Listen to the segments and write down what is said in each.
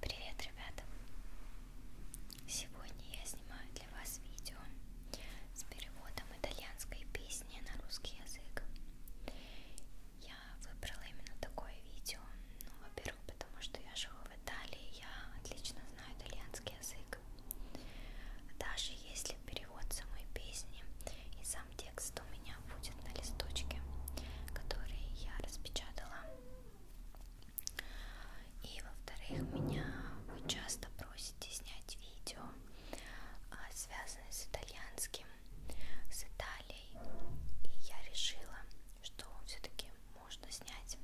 Привет, ребята! Сегодня я снимаю для вас видео с переводом итальянской песни на русский язык. Я выбрала именно такое видео, ну, во-первых, потому что я живу в Италии, я отлично знаю итальянский язык. Даже если перевод самой песни и сам текст у меня будет на листочке, который я распечатала. И во-вторых, меня вы часто просите снять видео, а, связанное с итальянским, с Италией. И я решила, что все-таки можно снять.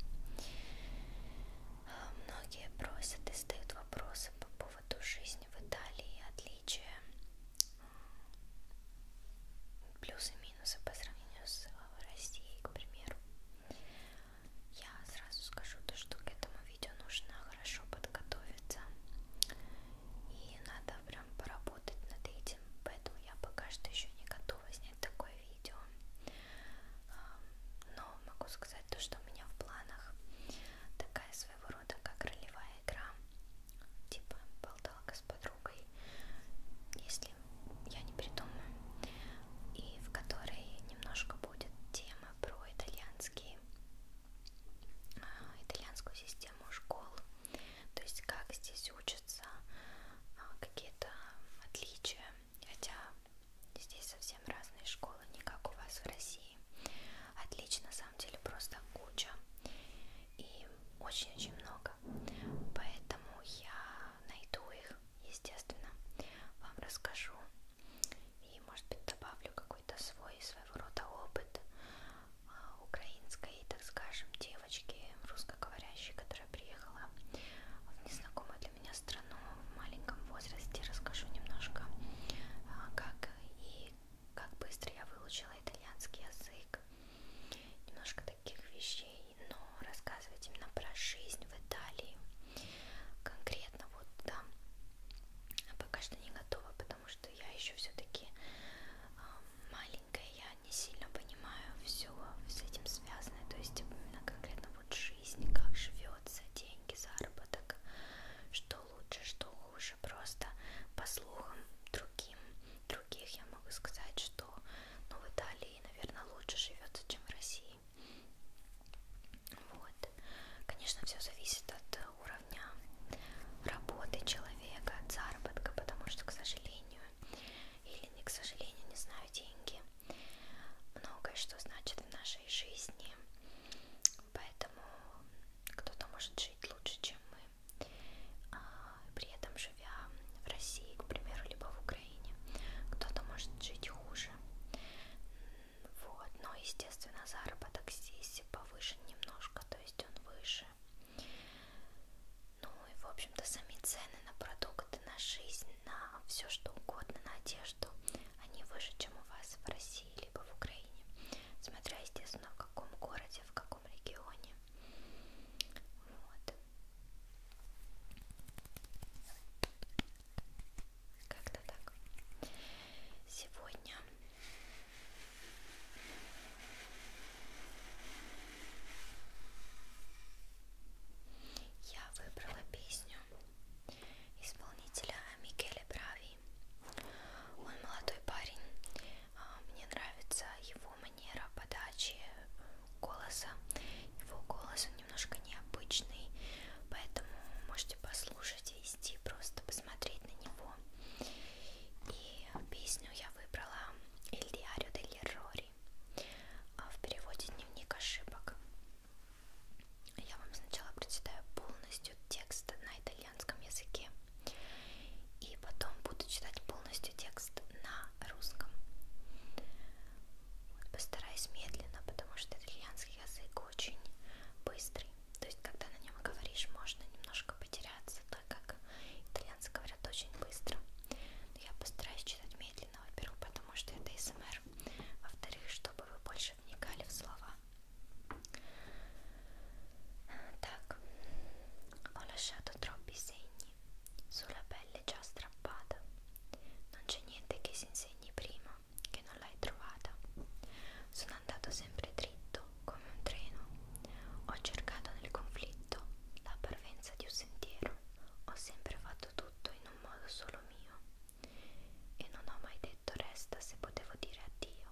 Многие просят и задают вопросы по поводу вот ту жизнь в Италии, отличия, плюсы и минусы по сравнению с э, Россией, к примеру. Я сразу скажу то, что к этому видео нужно хорошо подготовиться. И надо прям поработать над этим. Поэтому я пока что еще не готова снять такое видео. Но могу сказать то, что у меня в планах такая своего рода как ролевая игра, типа болталка с подругой, если я не придумаю, и в которой немножко будет тема про итальянские, а, итальянскую систему школ, то есть как здесь учатся, а, какие-то отличия, хотя здесь совсем разные школы, не как у вас в России и отлично, на самом деле просто куча и очень-очень много, поэтому я найду их, естественно, вам расскажу и, может быть, добавлю какой-то свой своего рода опыт а, украинской, так скажем, девочки русскоговорящей, которая приехала в незнакомую для меня страну в маленьком возрасте. Расскажу немножко, а, как и как быстро я выучила итальянский язык. Немножко таких вещей, но рассказывать именно про жизнь в Италии конкретно вот там да, пока что не готова, потому что я еще все-таки а, маленькая, я не сильно понимаю все с этим связанное, то есть именно конкретно вот жизнь, как живется, деньги, заработок, что что лучше, что хуже, просто по слухам другим, других я могу сказать, что ну, в Италии, наверное, лучше живется, чем в России. Вот. Конечно, все зависит от уровня работы человека, от заработка, потому что, к сожалению, или не к сожалению, не знаю, деньги. Многое, что значит в нашей жизни, Поэтому кто-то может жить лучше, чем мы. А, при этом живя в России, к примеру, либо в Украине, кто-то может жить хуже. Вот, но, естественно, заработок здесь повыше немножко, то есть он выше. Ну и, в общем-то, сами цены на продукты, на жизнь, на все что угодно, на одежду, они выше, чем у вас в России. России, либо в Украине, смотря, естественно, в каком городе, в каком регионе. Вот. Как-то так. Сегодня я выбрала песню исполнителя Микеле Брави. Он молодой парень. А, мне нравится его манера подачи голоса. Его голос он немножко необычный, поэтому можете послушать и идти просто посмотреть на него. И песню я выбрала Эль Диарио дель Рори а в переводе дневник ошибок. Я вам сначала прочитаю полностью текст на итальянском языке и потом буду читать полностью текст на русском. Вот, постараюсь медленно, потому что итальянский язык очень быстрый. То есть, когда на нем говоришь, можно немножко потеряться, так как итальянцы говорят очень быстро. Но я постараюсь читать медленно, во-первых, потому что это СМР, во-вторых, чтобы вы больше вникали в слова. Tac, ho lasciato troppi segni sulla pelle già strappata. Non c'è niente che si insegni prima che non l'hai trovata. Sono andato sempre dritto come un treno. Ho cercato nel conflitto la parvenza di un sentiero. Ho sempre fatto tutto in un modo solo mio. E non ho mai detto resta se potevo dire addio.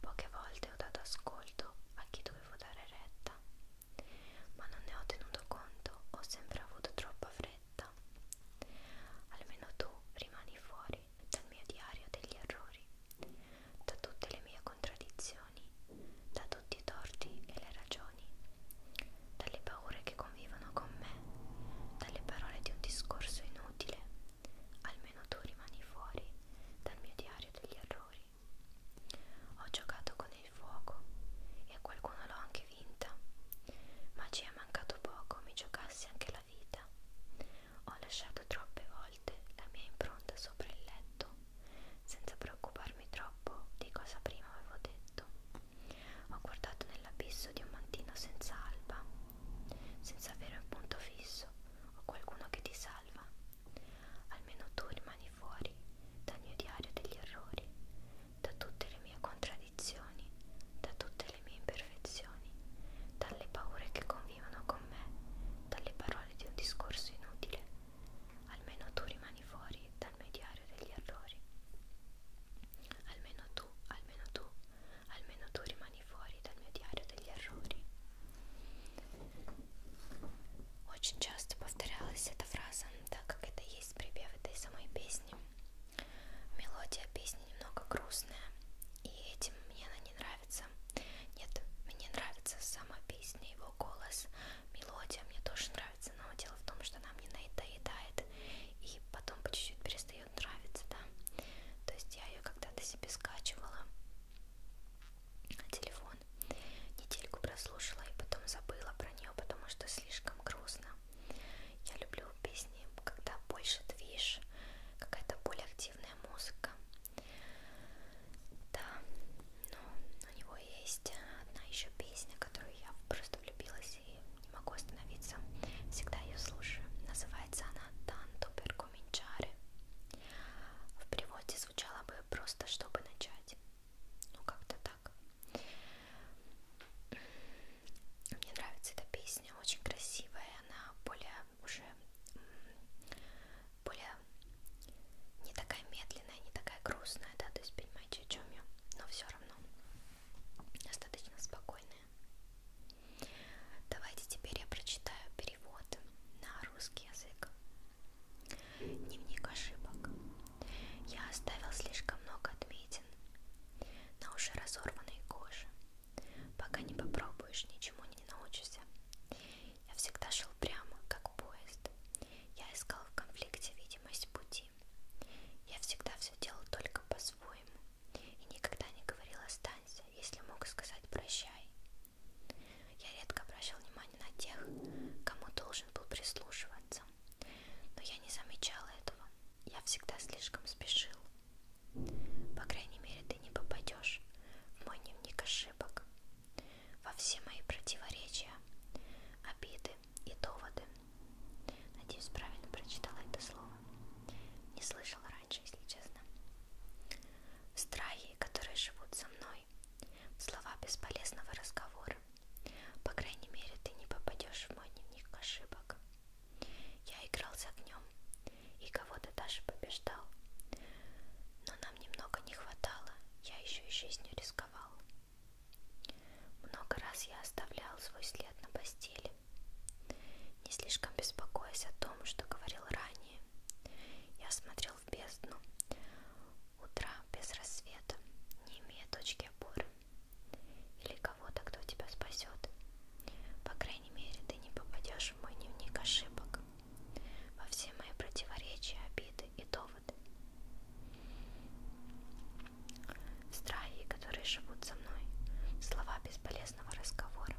Poche volte ho dato ascolto a chi dovevo dare retta, ma non ne ho tenuto conto, ho sempre avuto troppa fretta. Almeno tu rimani fuori dal mio diario degli errori, da tutte le mie contraddizioni, da tutti i torti e le ragioni dalle paure che convivono con me, dalle parole di un discorso inutile, almeno tu rimani fuori dal mio diario degli errori. Ho giocato con il fuoco e qualcuno l'ho anche vinta, ma ci è mancato poco mi giocassi anche la vita. Ho lasciato troppe volte la mia impronta sopra il letto, senza preoccuparmi troppo di cosa prima avevo detto. Ho guardato nell'abisso di un mattino senza alba, senza avere un punto fisso o qualcuno che ti salva. Almeno tu rimani fuori dal mio diario degli errori, da tutte le mie contraddizioni, da tutte le mie imperfezioni, dalle paure che convivono con me, dalle parole di un discorso inutile. Almeno tu rimani fuori dal mio diario degli errori. Almeno tu, almeno tu, almeno tu rimani fuori dal mio diario degli errori. Очень часто повторялась эта фраза, так как это есть припев этой самой песни. Мелодия песни немного грустная, и этим мне она не нравится. Нет, мне нравится сама песня, его голос, мелодия мне тоже нравится, но дело в том, что она мне наедает и потом по чуть-чуть перестает нравиться, да. То есть я ее когда-то себе скачивала на телефон, недельку прослушала и потом забыла про нее, потому что слишком грустно. Я люблю песни, когда больше движ, какая-то более активная музыка. Да, но у него есть одна еще песня, которую я просто влюбилась и могу остановиться, всегда ее слушаю. Называется она «Tanto per cominciare». В переводе звучало бы «просто чтобы начать». Ну, как-то так. Мне нравится эта песня, очень красивая, она более уже более не такая медленная, не такая грустная, да, то есть понимаете, о чем я, но все равно достаточно спокойная. Давайте теперь я прочитаю перевод на русский язык. Дневник ошибок. Я оставил слишком много отметин на уже разорванной коже. Пока не попробуешь, ничему не научишься. Я всегда шел прямо, как поезд. Я искал в конфликте видимость пути пути. Я всегда все делал только по-своему и никогда не говорил «останься», если мог сказать «прощай». Я редко обращал внимание на тех, кому должен был прислушиваться, но я не замечала этого. Я всегда слишком спешил. По крайней мере, ты не попадешь в мой дневник ошибок. Во все мои противоречия, обиды доводы и доводы. Надеюсь, правильно прочитала это слово. Не слышала раньше, если честно. В страхе, которые живут со мной, в слова бесполезного разговора. По крайней мере, ты не попадешь в мой дневник ошибок. Я играл с огнем и кого-то даже побеждал. Но нам немного не хватало, я еще и жизнью рисковал. Много раз я оставлял свой след на постели, не слишком беспокоясь о том, что говорил ранее. Я смотрел в бездну, утра без рассвета, не имея точки опоры или кого-то, кто тебя спасет. По крайней мере, ты не попадешь в мой дневник ошибок, во все мои противоречия, обиды и доводы страхи, которые живут со мной, слова бесполезного разговора.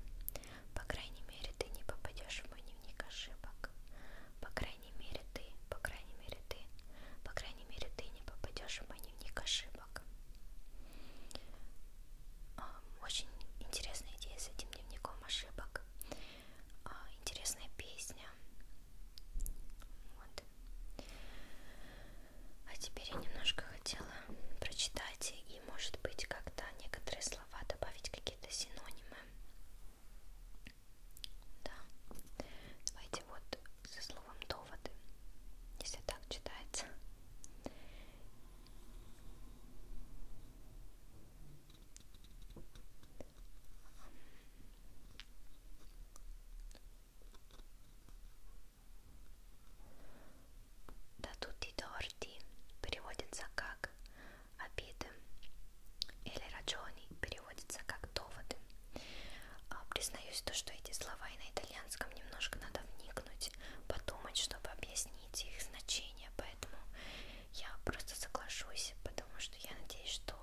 По крайней мере, ты не попадешь в мой дневник ошибок. По крайней мере, ты, по крайней мере, ты, по крайней мере, ты не попадешь в мой дневник ошибок. Очень интересная идея с этим дневником ошибок. А, интересная песня. Вот. А теперь я немножко хотела прочитать и, может быть, когда некоторые слова добавить какие-то синонимы. Да. Давайте вот со словом доводы, если так читается. Да тут и дорти переводится как обиды или раджони переводится как доводы. А, признаюсь то, что эти слова и на итальянском немножко надо вникнуть, подумать, чтобы объяснить их значение, поэтому я просто соглашусь, потому что я надеюсь, что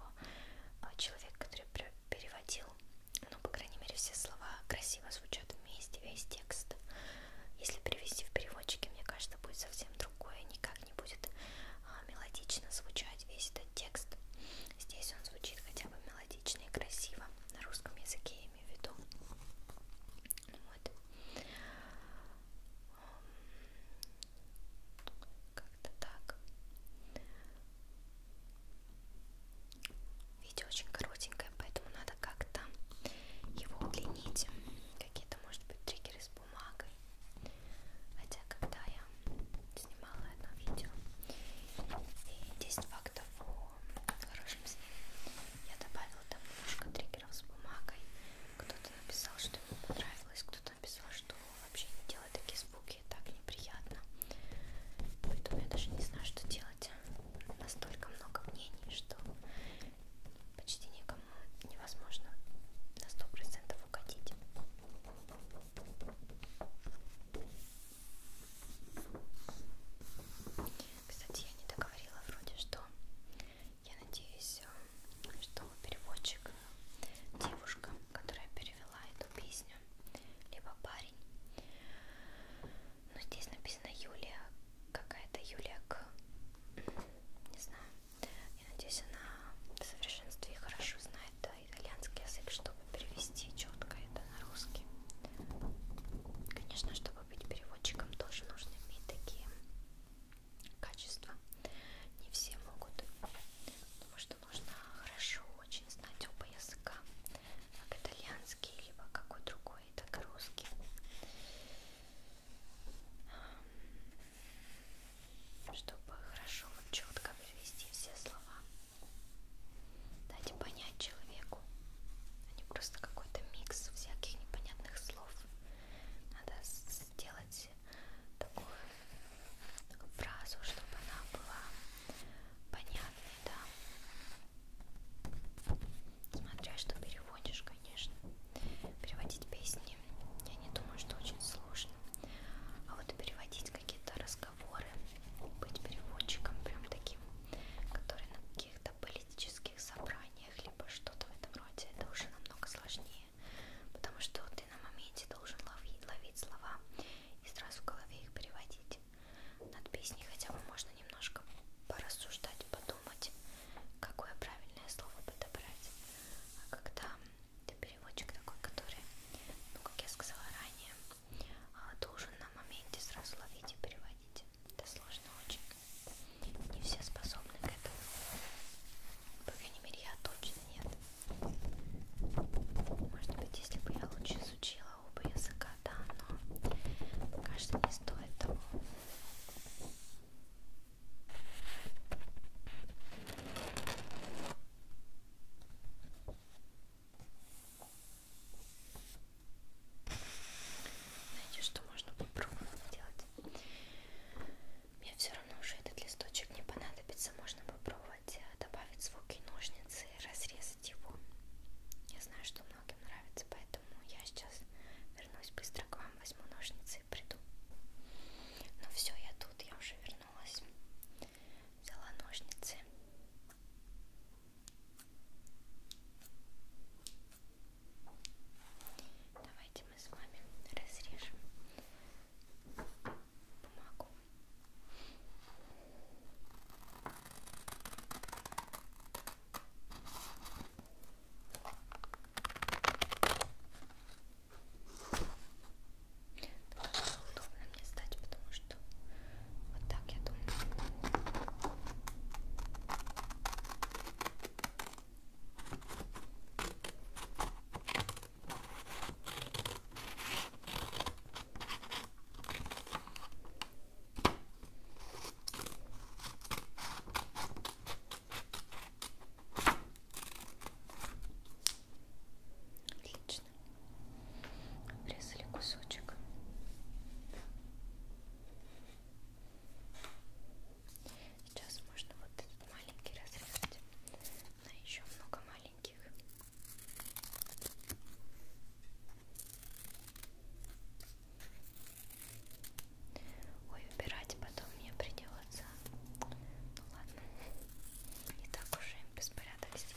а, человек, который переводил. Ну, по крайней мере, все слова красиво звучат вместе, весь текст. Если перевести в переводчике, мне кажется, будет совсем другое. Никак не будет а, мелодично звучать весь этот текст. Здесь он звучит хотя бы мелодично и красиво. На русском языке я имею в виду. Вот. Как-то так. Видео очень коротенькое, поэтому надо как-то его удлинить. Какие-то, может быть, триггеры с бумагой. Хотя, когда я снимала одно видео и 10 фактов о хорошем сне, я добавила там немножко триггеров с бумагой. Кто-то написал, что ему понравилось, кто-то написал, что вообще не делай такие звуки, так неприятно. Поэтому я даже не знаю, что делать. Настолько много мнений, что почти никому невозможно на 100% угодить. Кстати, я не договорила вроде, что я надеюсь, э, что переводчик девушка, которая переводит перевела эту песню, либо парень. Но ну, здесь написано Юлия, какая-то Юлия К. Не знаю. Я надеюсь, она в совершенстве хорошо знает да, итальянский язык, чтобы перевести четко это на русский. Конечно, чтобы быть переводчиком, тоже нужно иметь такие качества. Не все могут. Потому что что нужно хорошо очень знать оба языка, как итальянский, либо какой другой, так и русский. Чтобы хорошо, вот четко привести все слова, дать понять человеку, а не просто какой-то микс всяких непонятных слов. Надо сделать сделать такую фразу, чтобы она была понятной, да. Смотря что переводишь, конечно. Переводить песни, я не думаю, что очень сложно. А вот переводить какие-то разговоры, быть переводчиком прям таким, который на каких-то политических собраниях, либо что-то в этом роде, это уже намного сложнее важнее, потому что ты на моменте должен ловить, ловить слова и сразу в голове их переводить. Над песней хотя бы можно немножко порассуждать, подумать, какое правильное слово подобрать. А когда ты переводчик такой, который, ну как я сказала ранее, а, должен на моменте сразу ловить и переводить. Это сложно очень. Не все способны к этому. По крайней мере, я точно нет. Может быть, если бы я лучше изучила оба языка, да, но пока что не стоит того. Знаете, что можно попробовать сделать? Мне все равно уже этот листочек не понадобится. Можно попробовать э, добавить звуки ножницы и разрезать его. Я знаю, что многим нравится, поэтому я сейчас вернусь быстро к вам, возьму ножницы и приду. Ну все, я тут, я уже вернулась. Взяла ножницы. Давайте мы с вами разрежем помогу. Так как удобно мне стать, потому что вот так я думаю. Так, Отлично. Обрезали кусочек. Сейчас можно вот этот маленький разрезать на еще много маленьких. Ой, убирать потом мне придется. Ну ладно, не так уж и беспорядок здесь.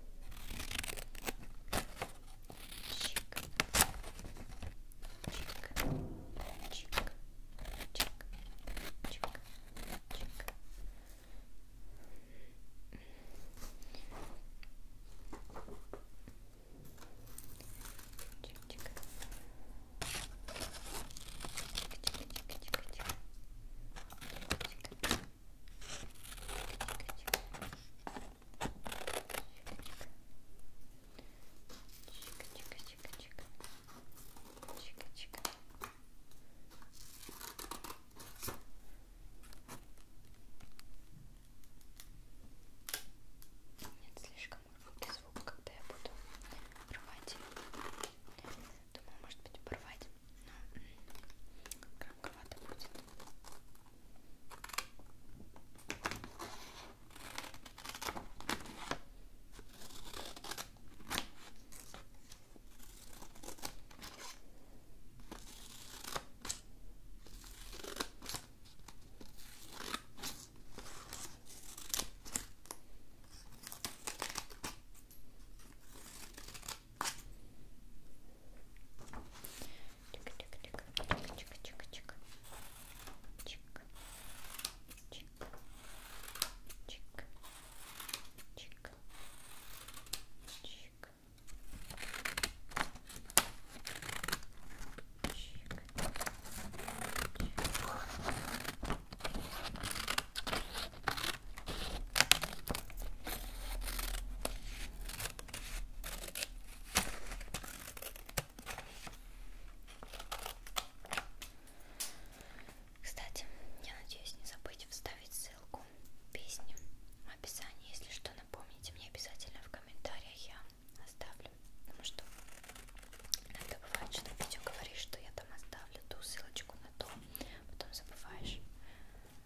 Чик. Чик. Чик. Чик. Чик. Чик. Чик-чик. Чик-чик-чик-чик-чик. Чик-чик. Нет, слишком громкий звук, когда я буду рвать. Думаю, может быть, порвать ну, громковато будет чик кстати, я надеюсь не забыть вставить ссылку песни в описании. Если что, напомните мне обязательно в комментариях, я оставлю. Потому что иногда бывает, что видео говоришь, что я там оставлю ту ссылочку на то, потом забываешь.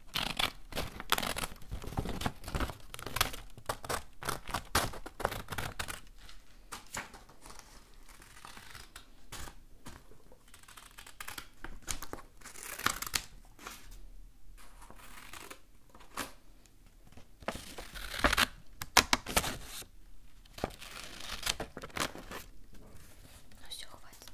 Ну все, хватит.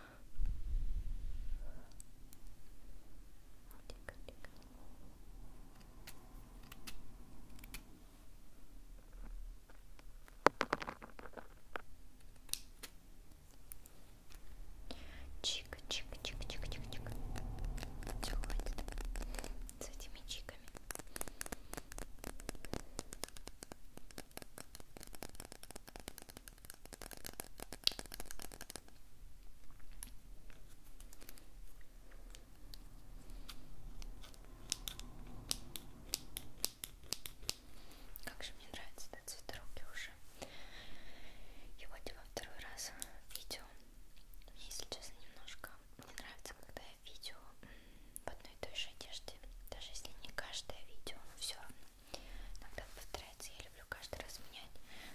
Тихо, тихо. Чика, чика, чика, чика, чика, чика. Все хватит с этими чиками. Как же мне нравится этот цветок уже. И вот я во второй раз видео. Мне, если честно, немножко не нравится, когда я видео в одной и той же одежде, даже если не каждое видео, но все равно иногда повторяется, я люблю каждый раз менять,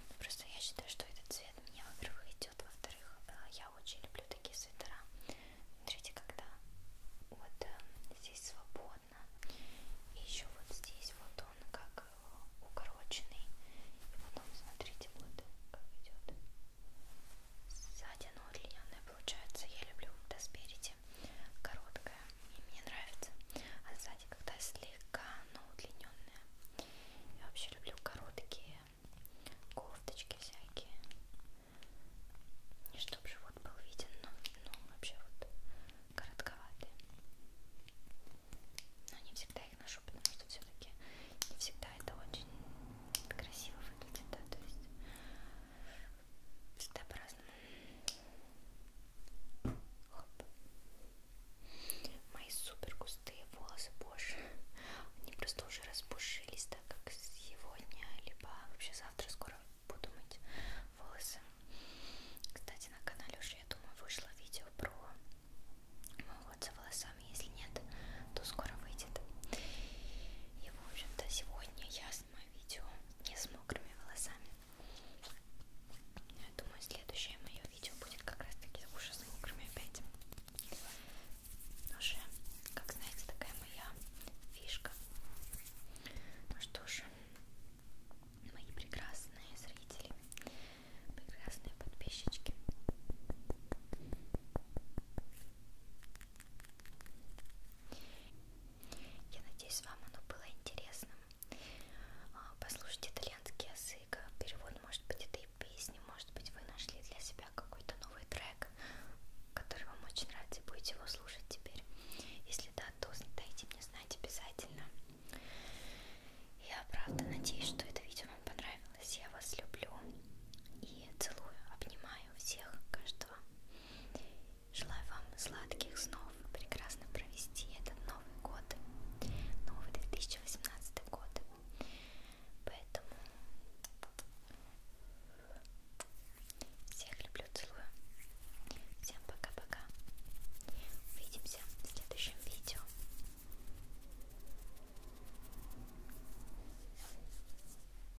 но просто я считаю, что этот цвет мне, во-первых, идет, во-вторых, э, я очень люблю такие свитера, смотрите, когда вот э, здесь свободно, и еще вот здесь вот он как э, укороченный, и потом, смотрите, вот как идет сзади, но удлиненное получается, я люблю, да, спереди видите, короткая, и мне нравится. А сзади когда слегка, но удлиненная. Я вообще люблю короткие кофточки всякие. Не чтобы живот был виден, но, но вообще вот коротковатые. Но не всегда их ношу, потому что все-таки не всегда это очень красиво выглядит, да, то есть всегда по-разному. Мои супер густые волосы, боже, они просто уже распушились, так как сегодня, либо вообще завтра скоро буду мыть волосы. Кстати, на канале уже, я думаю, вышло видео про мой уход за волосами. Если нет, то скоро выйдет. И, в общем-то, сегодня я восьмое видео не с мокрыми волосами. Но я думаю, следующее мое видео будет как раз таки уже с мокрыми опять. Ну же, как знаете, такая моя фишка. Ну что же, мои прекрасные зрители, прекрасные подписчики. Я надеюсь, вам оно было интересным. А, послушайте итальянский язык, перевод, может быть, этой песни, может быть, вы нашли для себя какой-то новый трек, который вам очень нравится, и будете его слушать теперь. Если да, то дайте мне знать обязательно. Я правда надеюсь, что это видео вам понравилось. Я вас люблю и целую, обнимаю обнимаю всех, каждого. Желаю вам сладких снов, прекрасно провести этот Новый год, новый 2018 год. Поэтому всех люблю, целую. Всем пока-пока. Увидимся в следующем видео.